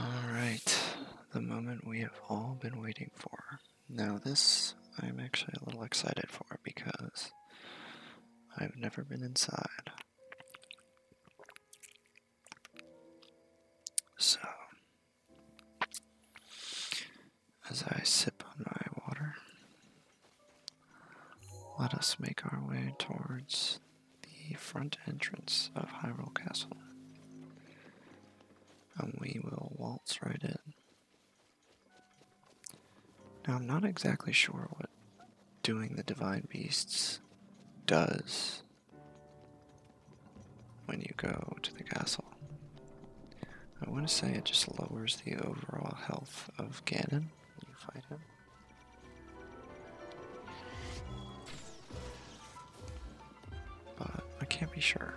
Alright, the moment we have all been waiting for. Now, this I'm actually a little excited for because I've never been inside. So, as I sip on my water, let us make our way towards the front entrance of Hyrule Castle. And we will waltz right in. Now, I'm not exactly sure what doing the Divine Beasts does when you go to the castle. I want to say it just lowers the overall health of Ganon when you fight him. But I can't be sure.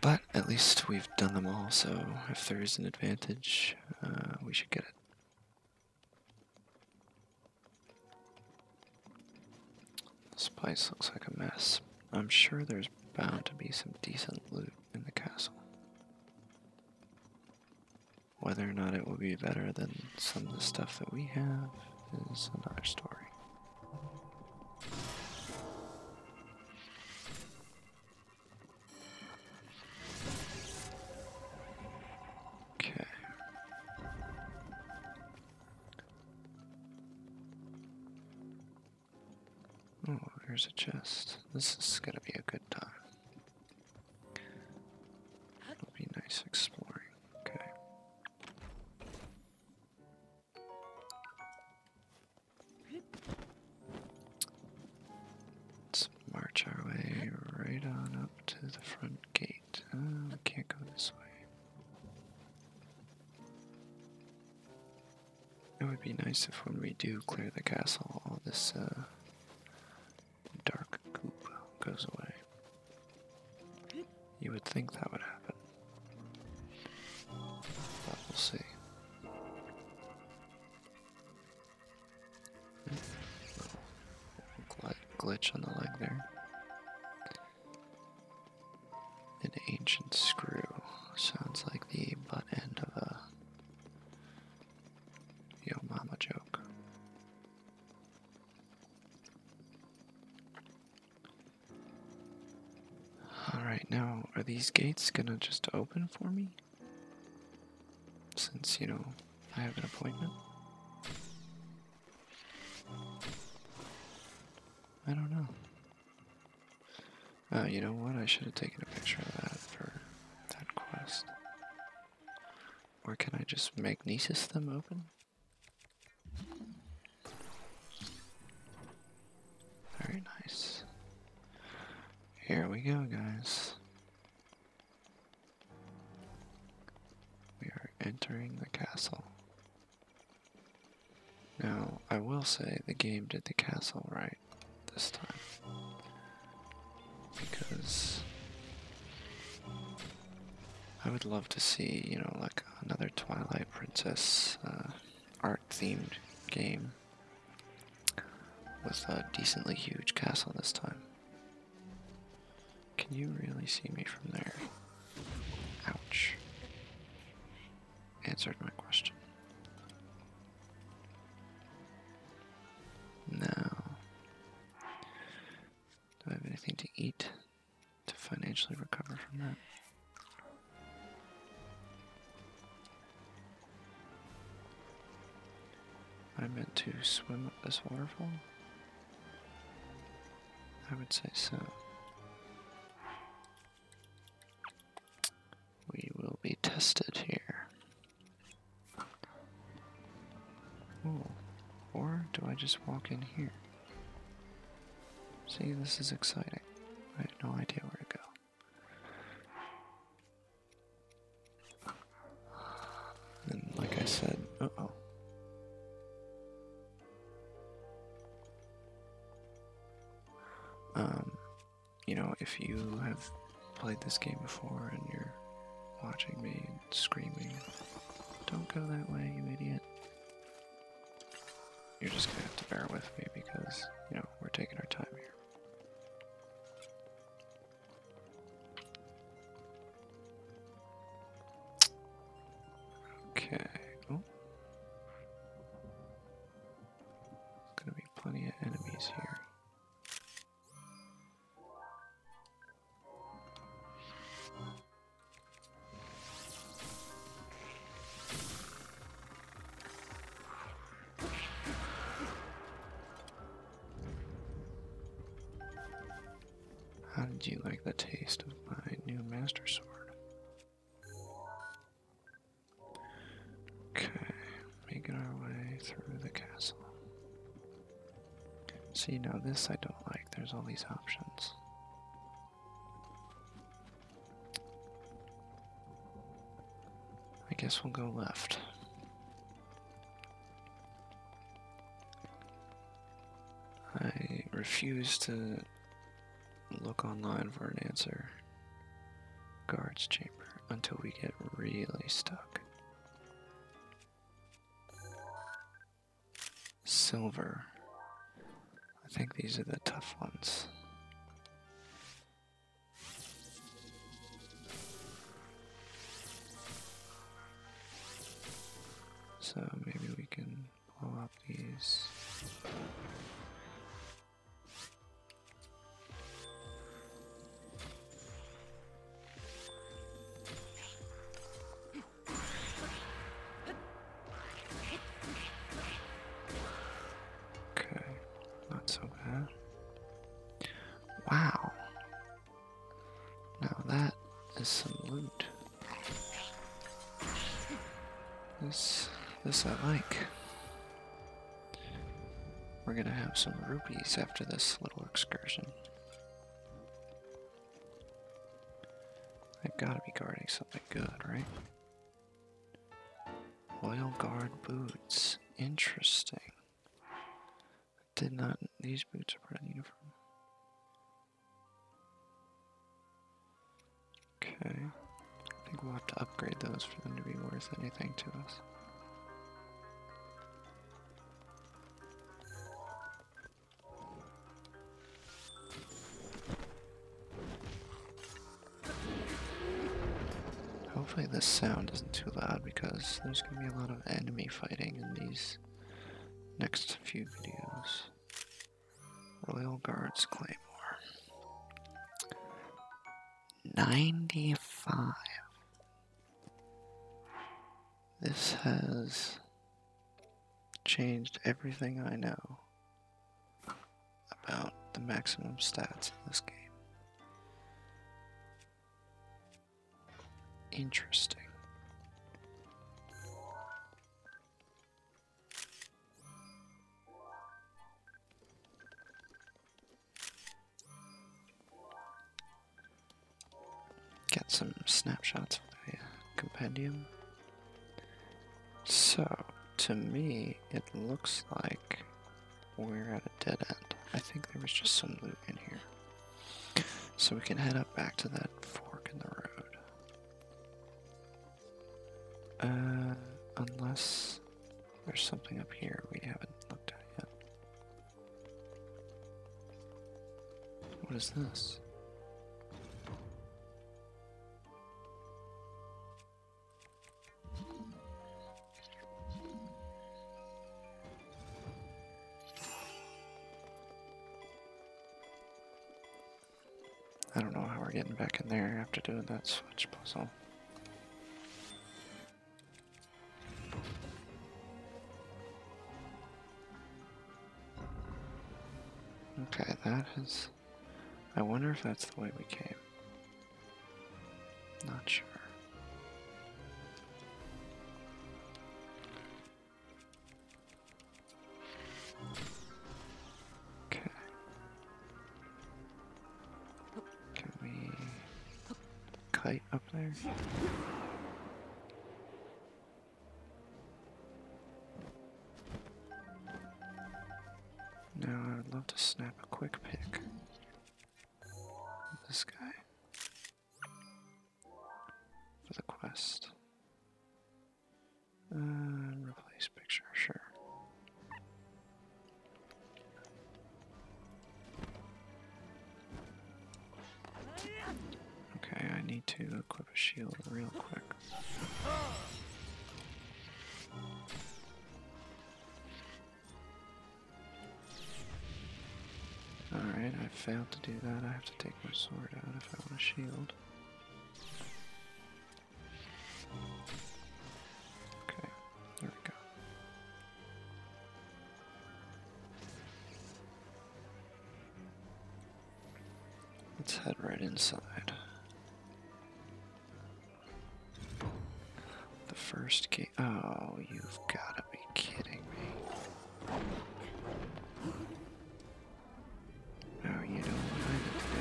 But at least we've done them all, so if there is an advantage, uh, we should get it. This place looks like a mess. I'm sure there's bound to be some decent loot in the castle. Whether or not it will be better than some of the stuff that we have is another story. Okay. Oh, there's a chest. This is gonna be a good time. It'll be nice exploring. Okay. Let's march our way right on up to the front gate. Uh, can't go this way. It would be nice if when we do clear the castle, all this uh, dark goop goes away. You would think that would happen. But we'll see. Hmm. Gl glitch on the leg there. An ancient screw. Sounds like the butt end of a Yo mama joke. Alright, now are these gates gonna just open for me? Since, you know, I have an appointment? I don't know. Oh, you know what? I should have taken a picture of that for that quest. Or can I just magnesis them open? Very nice. Here we go, guys. We are entering the castle. Now, I will say the game did the castle right this time. Because I would love to see, you know, like another Twilight Princess uh, art themed game with a decently huge castle this time. Can you really see me from there? Ouch answered my question. Now, do I have anything to eat to financially recover from that? I meant to swim up this waterfall? I would say so. We will be tested here. Or do I just walk in here? See, this is exciting. I have no idea where to go. And like I said, oh. Um, you know, if you have played this game before and you're watching me screaming, don't go that way, you idiot. You're just gonna have to bear with me because, you know, we're taking our time here. Okay. Oh. There's gonna be plenty of enemies here. How did you like the taste of my new master sword? Okay, making our way through the castle. See, now this I don't like. There's all these options. I guess we'll go left. I refuse to Look online for an answer. Guards chamber until we get really stuck. Silver. I think these are the tough ones. So maybe we can blow up these. Okay, not so bad. Wow. Now that is some loot. This, this I like. We're gonna have some rupees after this little excursion. I've gotta be guarding something good, right? Royal Guard boots. Interesting. I did not. These boots are pretty uniform. Okay. I think we'll have to upgrade those for them to be worth anything to us. Hopefully this sound isn't too loud because there's going to be a lot of enemy fighting in these next few videos. Royal Guards Claymore. 95. This has changed everything I know about the maximum stats in this game. Interesting. Get some snapshots of the compendium. So, to me, it looks like we're at a dead end. I think there was just some loot in here. So we can head up back to that fork in the road. Uh, unless there's something up here we haven't looked at yet. What is this? I don't know how we're getting back in there after doing that switch puzzle. Okay, that is. I wonder if that's the way we came. Not sure. Okay. Can we kite up there? Now I would love to snap a quick pic of This guy. For the quest. Uh, replace picture, sure. Okay, I need to equip a shield real quick. Alright, I failed to do that. I have to take my sword out if I want a shield. Okay, there we go. Let's head right inside. The first gate. Oh, you've got to be kidding me. No, you don't want to do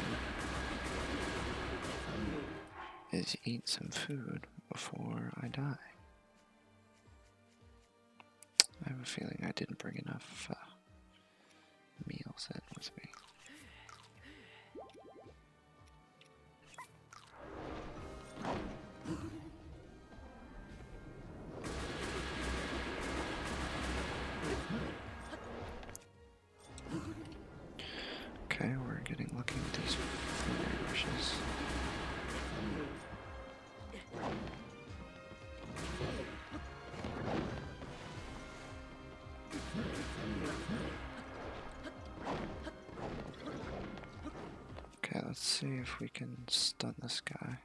is eat some food before I die. I have a feeling I didn't bring enough uh, meals in with me. Okay, we're getting lucky with these primary Okay, let's see if we can stun this guy.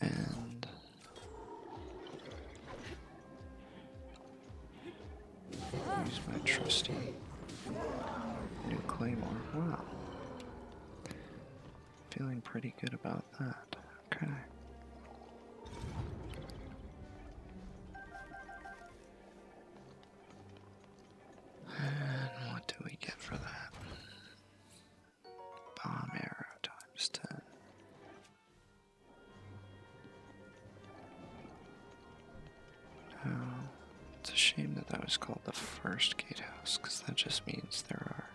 And use my trusty new claymore. Wow. Feeling pretty good about that. Okay. And what do we get for that? Bomb arrow times 10. No, oh, it's a shame that that was called the first gatehouse, because that just means there are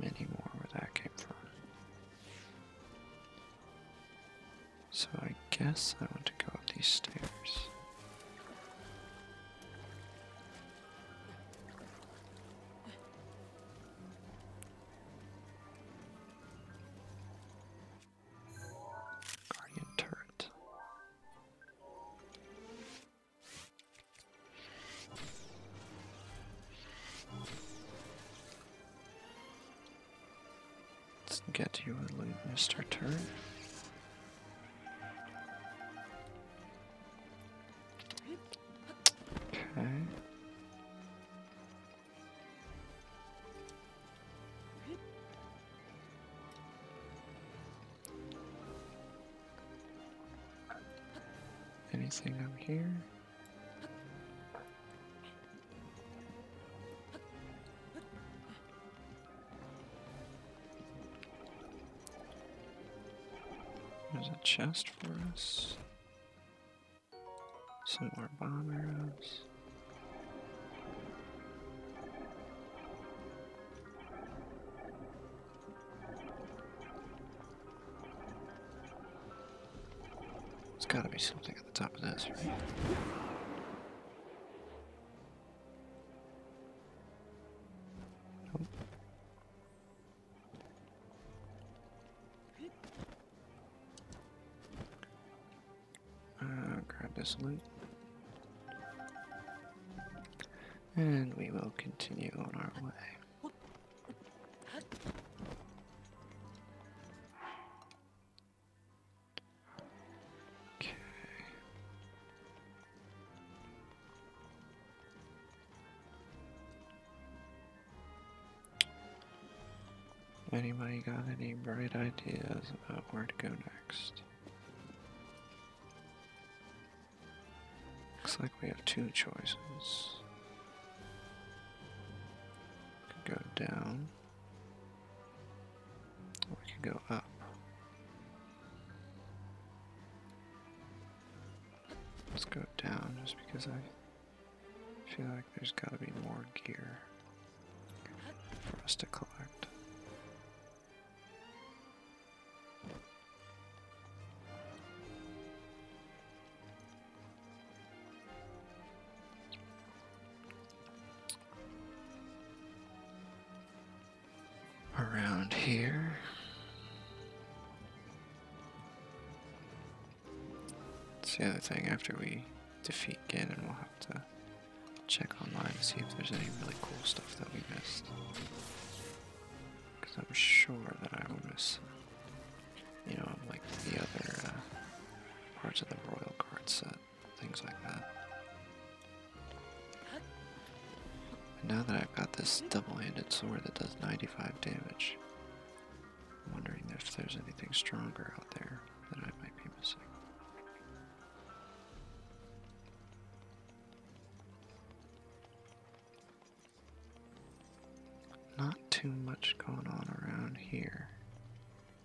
many more where that came from. So I guess I want to go up these stairs. Guardian turret. Let's get you a we missed turn. Okay. Anything up here? There's a chest for us. Some more bomb arrows. There's gotta be something at the top of this, right? Uh, grab this loot. And we will continue on our way. Anybody got any bright ideas about where to go next? Looks like we have two choices. go down. We can go up. Let's go down just because I feel like there's got to be more gear for us to collect around here. That's the other thing, after we defeat Ganon, we'll have to check online to see if there's any really cool stuff that we missed. Because I'm sure that I will miss, you know, like the other uh, parts of the royal Guard set things like that. And now that I've got this double-handed sword that does 95 damage, wondering if there's anything stronger out there that I might be missing. Not too much going on around here.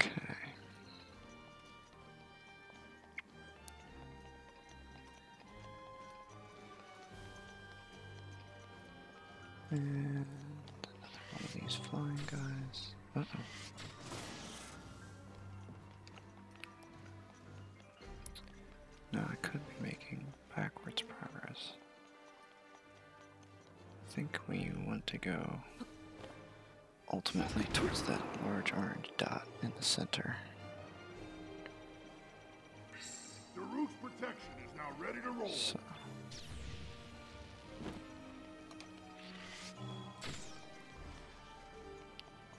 Okay. And another one of these flying guys. Uh oh. No, I could be making backwards progress. I think we want to go ultimately towards that large orange dot in the center. protection is now ready to roll. So.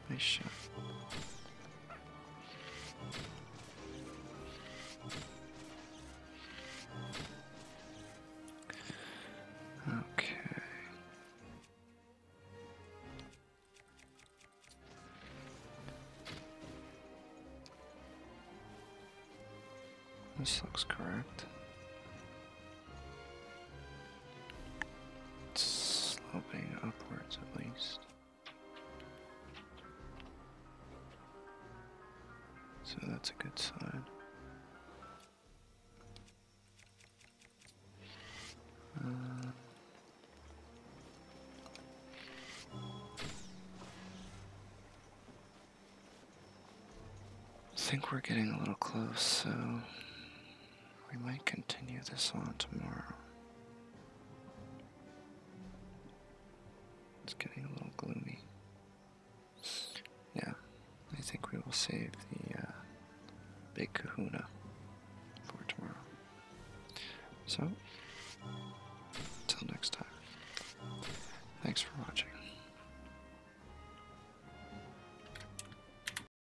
Nice shot. Okay. This looks correct. It's sloping upwards at least. So that's a good sign. Uh, I think we're getting a little close, so we might continue this on tomorrow. It's getting a little gloomy. Yeah, I think we will save the uh, big kahuna for tomorrow. So, until next time, thanks for watching.